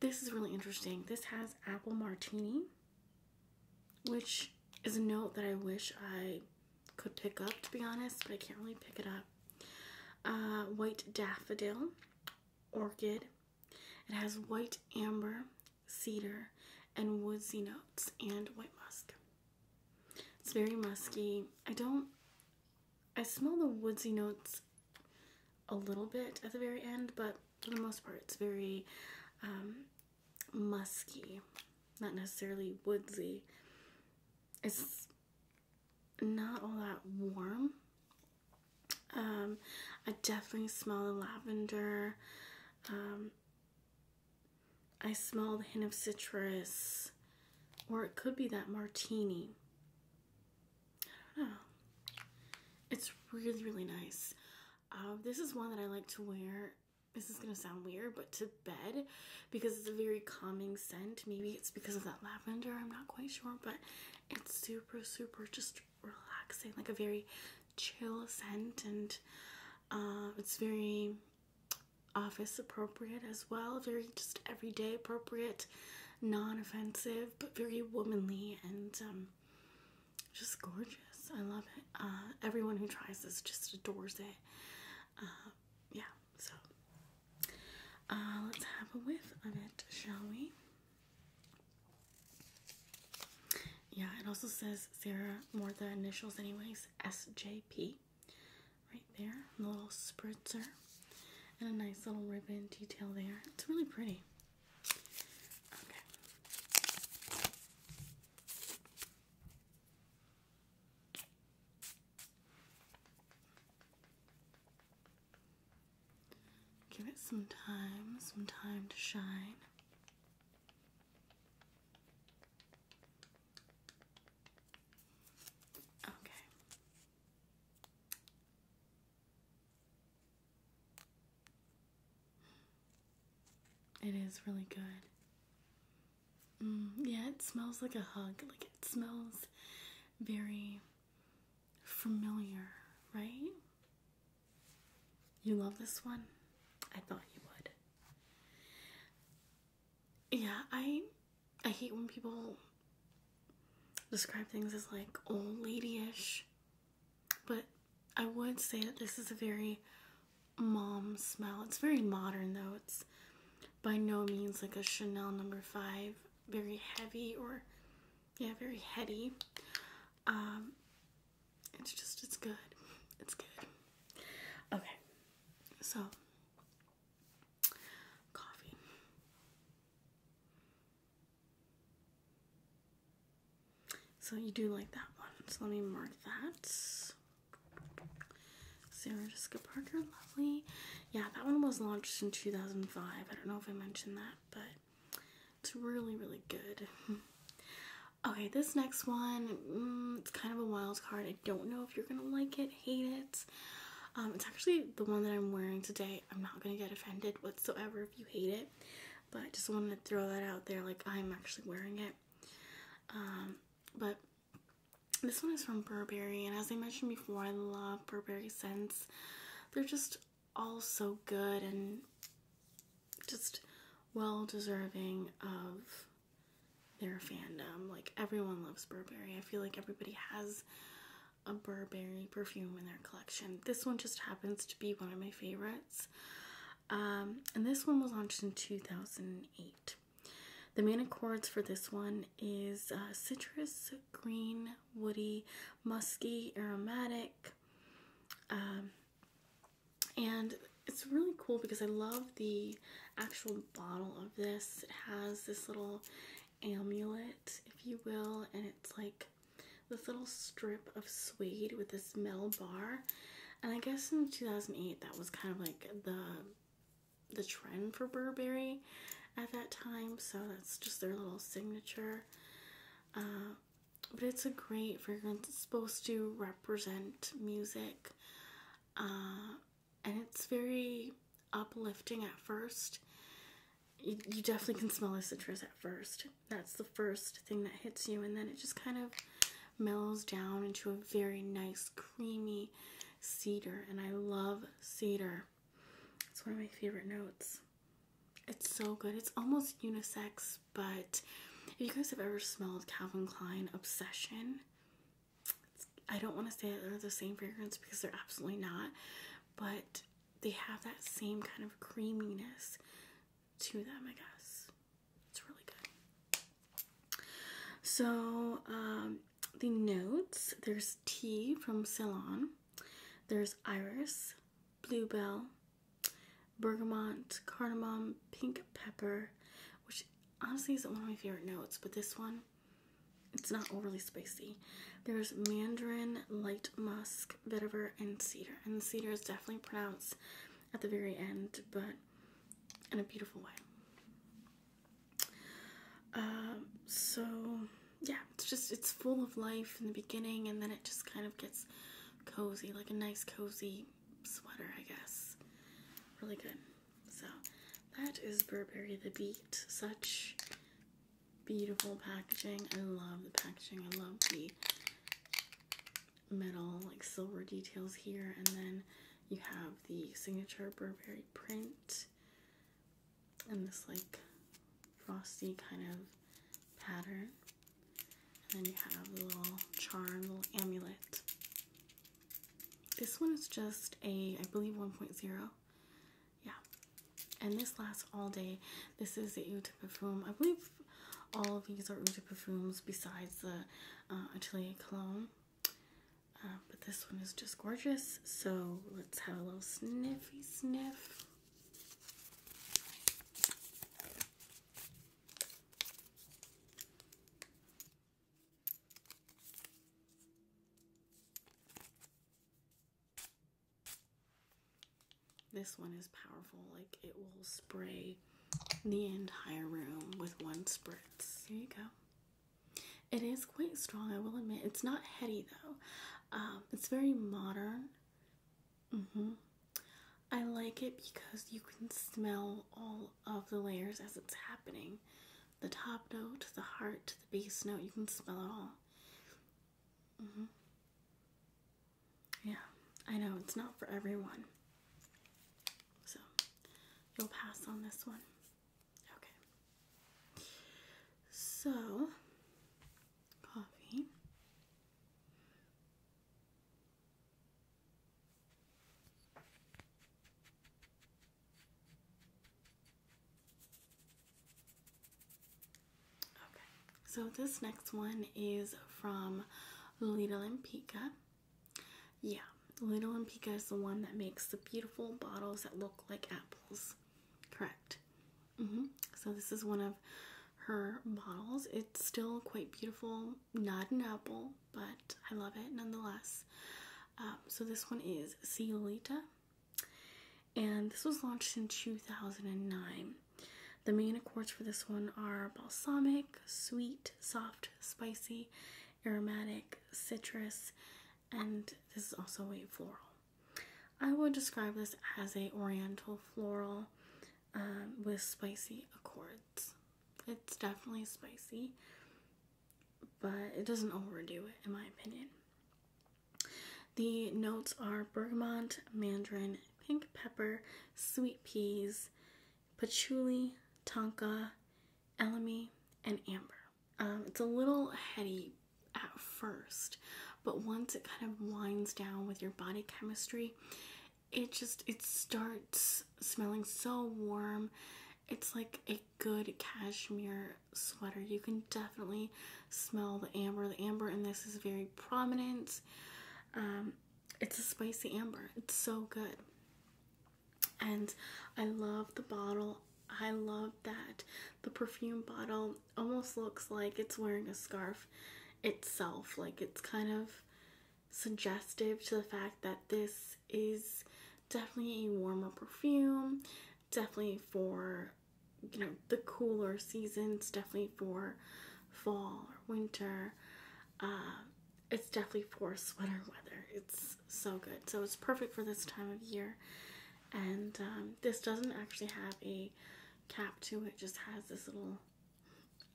This is really interesting. This has apple martini, which is a note that I wish I could pick up, to be honest, but I can't really pick it up. Uh, white daffodil, orchid, it has white amber, cedar, and woodsy notes, and white musk. It's very musky. I don't. I smell the woodsy notes a little bit at the very end, but for the most part, it's very um, musky, not necessarily woodsy. It's not all that warm. Um, I definitely smell the lavender. Um, I smell the hint of citrus, or it could be that martini. I don't know. It's really, really nice. Um, this is one that I like to wear. This is going to sound weird, but to bed because it's a very calming scent. Maybe it's because of that lavender. I'm not quite sure, but it's super, super just relaxing, like a very chill scent, and um, it's very office appropriate as well. Very just everyday appropriate, non offensive, but very womanly and um, just gorgeous. I love it. Uh, everyone who tries this just adores it. Uh, yeah, so uh, let's have a whiff of it, shall we? Yeah, it also says Sarah more the initials anyways, SJP. Right there, the little spritzer. And a nice little ribbon detail there. It's really pretty. Okay. Give it some time, some time to shine. Okay. It is really good. Mm, yeah, it smells like a hug. Like it smells very familiar, right? You love this one? I thought you would. Yeah, I I hate when people describe things as like old ladyish, but I would say that this is a very mom smell. It's very modern though. It's by no means like a Chanel number 5, very heavy or yeah, very heady. Um, it's just, it's good. It's good. Okay, so coffee. So you do like that one. So let me mark that. Sarah Jessica Parker, lovely. Yeah, that one was launched in 2005. I don't know if I mentioned that but it's really, really good. okay, this next one, mm, it's kind of a wild card. I don't know if you're gonna like it, hate it. Um, it's actually the one that I'm wearing today. I'm not gonna get offended whatsoever if you hate it, but I just wanted to throw that out there. Like, I'm actually wearing it. Um, but this one is from Burberry, and as I mentioned before, I love Burberry scents. They're just all so good and just well deserving of their fandom. Like everyone loves Burberry. I feel like everybody has a Burberry perfume in their collection. This one just happens to be one of my favorites. Um, and this one was launched in 2008. The main accords for this one is uh, citrus, green, woody, musky, aromatic. Um, and it's really cool because I love the actual bottle of this. It has this little amulet, if you will, and it's like this little strip of suede with this mel bar. And I guess in 2008 that was kind of like the the trend for Burberry at that time. So that's just their little signature. Uh, but it's a great fragrance. It's supposed to represent music. Uh, and it's very uplifting at first. You, you definitely can smell the citrus at first. That's the first thing that hits you. And then it just kind of mellows down into a very nice, creamy cedar. And I love cedar. It's one of my favorite notes. It's so good. It's almost unisex, but if you guys have ever smelled Calvin Klein Obsession, I don't want to say they're the same fragrance because they're absolutely not, but they have that same kind of creaminess to them, I guess. It's really good. So, um, the notes there's tea from Ceylon, there's iris, bluebell, bergamot, cardamom, pink pepper, which honestly isn't one of my favorite notes, but this one, it's not overly spicy. There's mandarin, light musk, vetiver, and cedar. And cedar is definitely pronounced at the very end, but in a beautiful way. Uh, so yeah, it's just it's full of life in the beginning, and then it just kind of gets cozy, like a nice cozy sweater, I guess. Really good. So that is Burberry the Beat. Such beautiful packaging. I love the packaging. I love the metal like silver details here, and then you have the signature Burberry print. And this like frosty kind of pattern. And then you have a little charm, little amulet. This one is just a, I believe 1.0. Yeah. And this lasts all day. This is the Eau de Parfum. I believe all of these are Eau de Parfums besides the uh, Atelier Cologne. Uh, but this one is just gorgeous. So let's have a little sniffy sniff. This one is powerful, like it will spray the entire room with one spritz. There you go. It is quite strong, I will admit. It's not heady though. Um, it's very modern. Mm-hmm. I like it because you can smell all of the layers as it's happening. The top note, the heart, the base note, you can smell it all. Mm-hmm. Yeah, I know it's not for everyone. So you'll pass on this one. Okay. So coffee. Okay, so this next one is from Lolita Limpica. Yeah, Lolita Limpica is the one that makes the beautiful bottles that look like apples. Correct. Mm-hmm. So this is one of her bottles. It's still quite beautiful, not an apple, but I love it nonetheless. Um, so this one is Ciolita, and this was launched in 2009. The main accords for this one are balsamic, sweet, soft, spicy, aromatic, citrus, and this is also a floral. I would describe this as a oriental floral um, with spicy accords. It's definitely spicy, but it doesn't overdo it in my opinion. The notes are bergamot, mandarin, pink pepper, sweet peas, patchouli, tonka, elemi, and amber. Um, it's a little heady at first, but once it kind of winds down with your body chemistry, it just it starts smelling so warm. It's like a good cashmere sweater. You can definitely smell the amber. The amber in this is very prominent. Um, it's a spicy amber. It's so good. And I love the bottle. I love that the perfume bottle almost looks like it's wearing a scarf itself. Like it's kind of suggestive to the fact that this is definitely a warmer perfume, definitely for you know the cooler seasons, definitely for fall or winter. Uh, it's definitely for sweater weather. It's so good. So it's perfect for this time of year and um, this doesn't actually have a cap to it, just has this little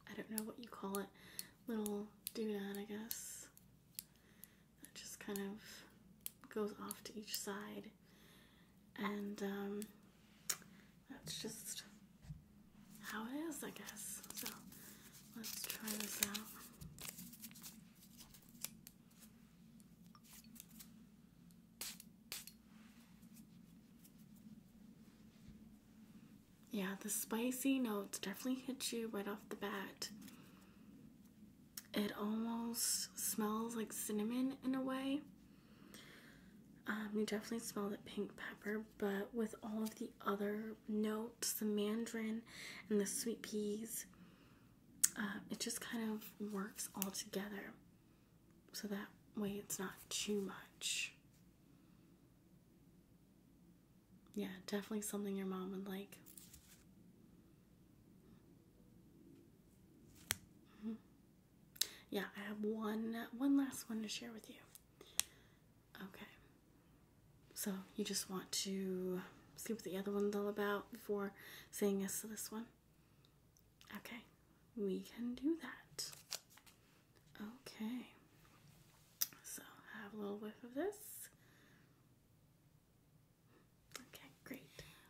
I don't know what you call it little doodad I guess that just kind of goes off to each side and um, that's just how it is I guess so let's try this out yeah, the spicy notes definitely hit you right off the bat. It almost smells like cinnamon in a way. Um, you definitely smell the pink pepper, but with all of the other notes, the mandarin and the sweet peas, uh, it just kind of works all together so that way it's not too much. Yeah, definitely something your mom would like. Mm-hmm. Yeah, I have one one last one to share with you. Okay. So, you just want to see what the other one's all about before saying yes to this one? Okay, we can do that. Okay, so have a little whiff of this. Okay, great.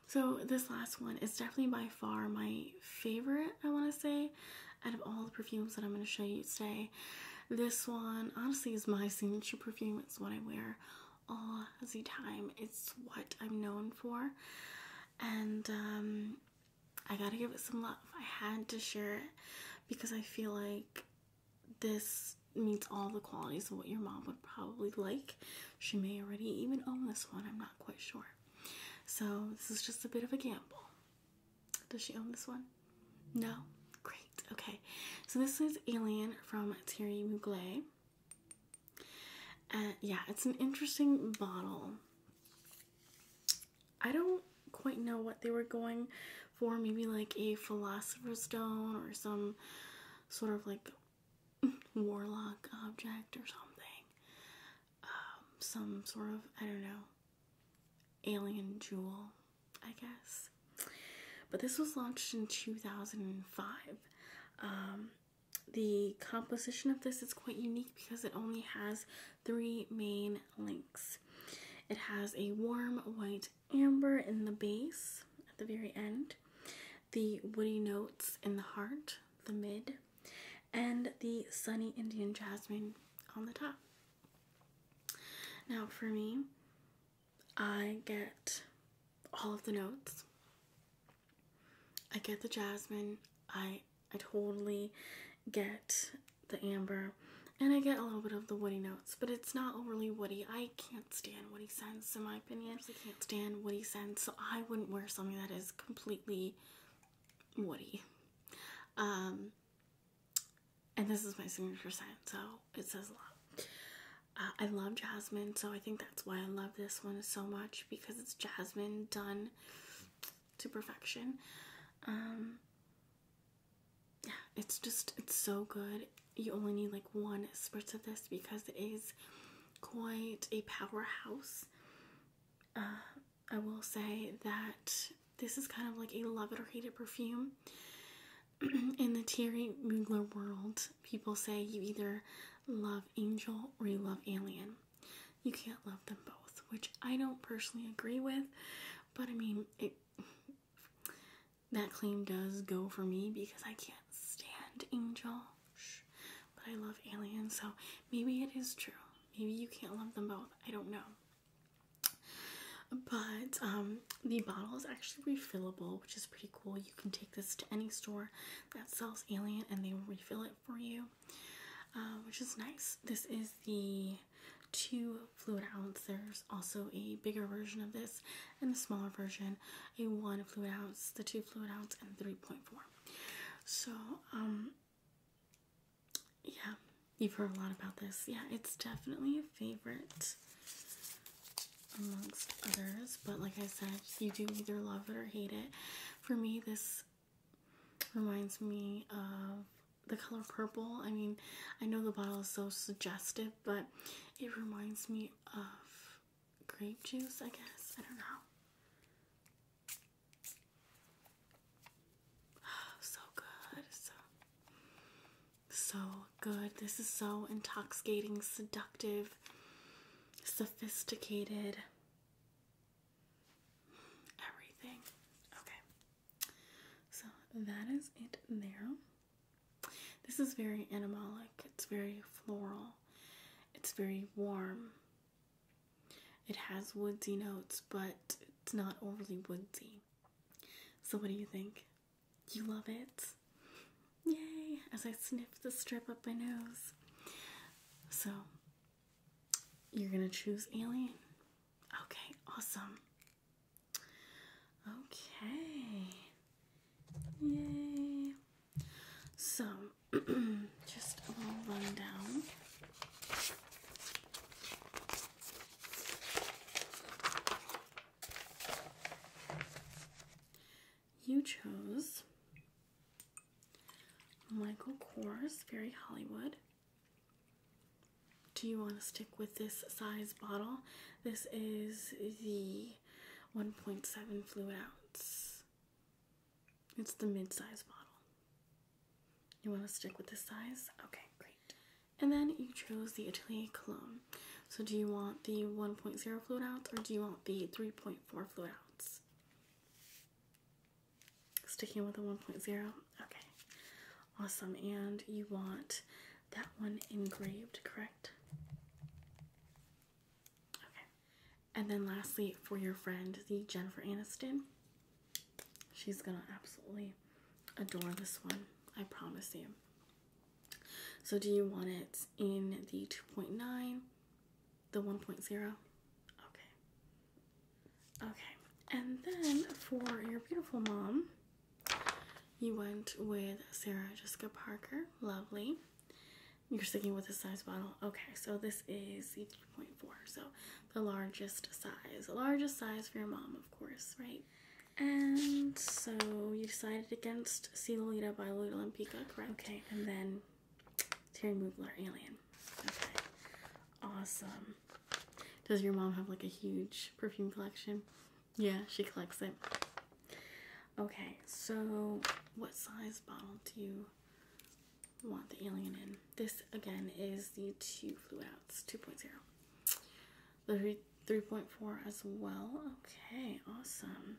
So, this last one is definitely by far my favorite, I want to say, out of all the perfumes that I'm going to show you today. This one, honestly, is my signature perfume. It's what I wear all the time, it's what I'm known for and um, I gotta give it some love. I had to share it because I feel like this meets all the qualities of what your mom would probably like. She may already even own this one, I'm not quite sure. So, this is just a bit of a gamble. Does she own this one? No? Great, okay. So, this is Alien from Thierry Mugler. Uh, yeah, it's an interesting bottle. I don't quite know what they were going for. Maybe like a philosopher's stone or some sort of like warlock object or something. Um, some sort of, I don't know, alien jewel, I guess. But this was launched in 2005. Um, the composition of this is quite unique because it only has three main links. It has a warm white amber in the base at the very end, the woody notes in the heart, the mid, and the sunny Indian jasmine on the top. Now for me, I get all of the notes I get the jasmine. I I totally get the amber. And I get a little bit of the woody notes, but it's not overly woody. I can't stand woody scents, in my opinion. I can't stand woody scents, so I wouldn't wear something that is completely woody. Um, and this is my signature scent, so it says a lot. Uh, I love jasmine, so I think that's why I love this one so much because it's jasmine done to perfection. Um, yeah, it's just it's so good. You only need like one spritz of this because it is quite a powerhouse. Uh, I will say that this is kind of like a love it or hate it perfume in the Thierry Mugler world people say you either love angel or you love alien. You can't love them both, which I don't personally agree with, but I mean that claim does go for me because I can't stand angel. But I love alien, so maybe it is true. Maybe you can't love them both. I don't know. But um, the bottle is actually refillable, which is pretty cool. You can take this to any store that sells Alien and they will refill it for you, uh, which is nice. This is the two fluid ounce. There's also a bigger version of this and a smaller version, a one fluid ounce, the two fluid ounce, and 3.4. So, um, yeah, you've heard a lot about this. Yeah, it's definitely a favorite amongst others, but like I said, you do either love it or hate it for me this reminds me of the color purple. I mean, I know the bottle is so suggestive, but it reminds me of grape juice, I guess. I don't know. so good. So so good. This is so intoxicating, seductive, sophisticated everything. Okay, so that is it there. This is very animalic, it's very floral, it's very warm. It has woodsy notes, but it's not overly woodsy. So, what do you think? You love it? Yay! As I sniff the strip up my nose. So, you're gonna choose Alien? Okay, awesome. Okay. Yay. So, just a little rundown you chose Michael Kors, Fairy Hollywood. Do you want to stick with this size bottle? This is the 1.7 fluid ounce. It's the mid-size bottle. You want to stick with this size? Okay, great. And then you chose the Atelier Cologne. So do you want the 1.0 fluid ounce or do you want the 3.4 fluid ounce? Sticking with the 1.0. Okay. Awesome. And you want that one engraved, correct? Okay. And then lastly, for your friend, the Jennifer Aniston. She's gonna absolutely adore this one. I promise you. So do you want it in the 2.9, the 1.0? Okay. Okay. And then for your beautiful mom, you went with Sarah Jessica Parker. Lovely. You're sticking with the size bottle. Okay, so this is 3.4, so the largest size. The largest size for your mom, of course, right? And so you decided against See by Lolita Olympica, correct? Okay, and then Terry Mugler, Alien. Okay. Awesome. Does your mom have like a huge perfume collection? Yeah, she collects it. Okay, so what size bottle do you want the alien in? This again is the two flew outs 2.0. The 3.4 as well. Okay, awesome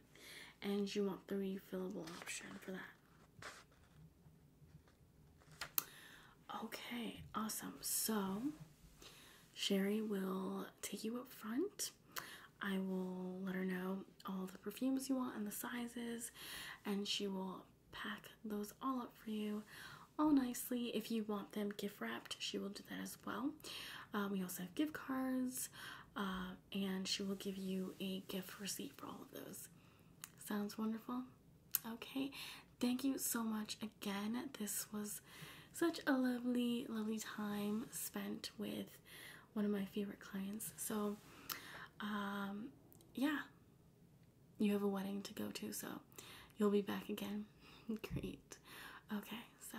and you want the refillable option for that. Okay, awesome. So, Sherry will take you up front. I will let her know all the perfumes you want and the sizes, and she will pack those all up for you all nicely. If you want them gift wrapped, she will do that as well. Um, we also have gift cards, uh, and she will give you a gift receipt for all of those. Sounds wonderful? Okay, thank you so much again. This was such a lovely, lovely time spent with one of my favorite clients. So, um, yeah, you have a wedding to go to, so you'll be back again. Great. Okay, so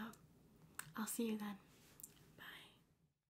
I'll see you then. Bye.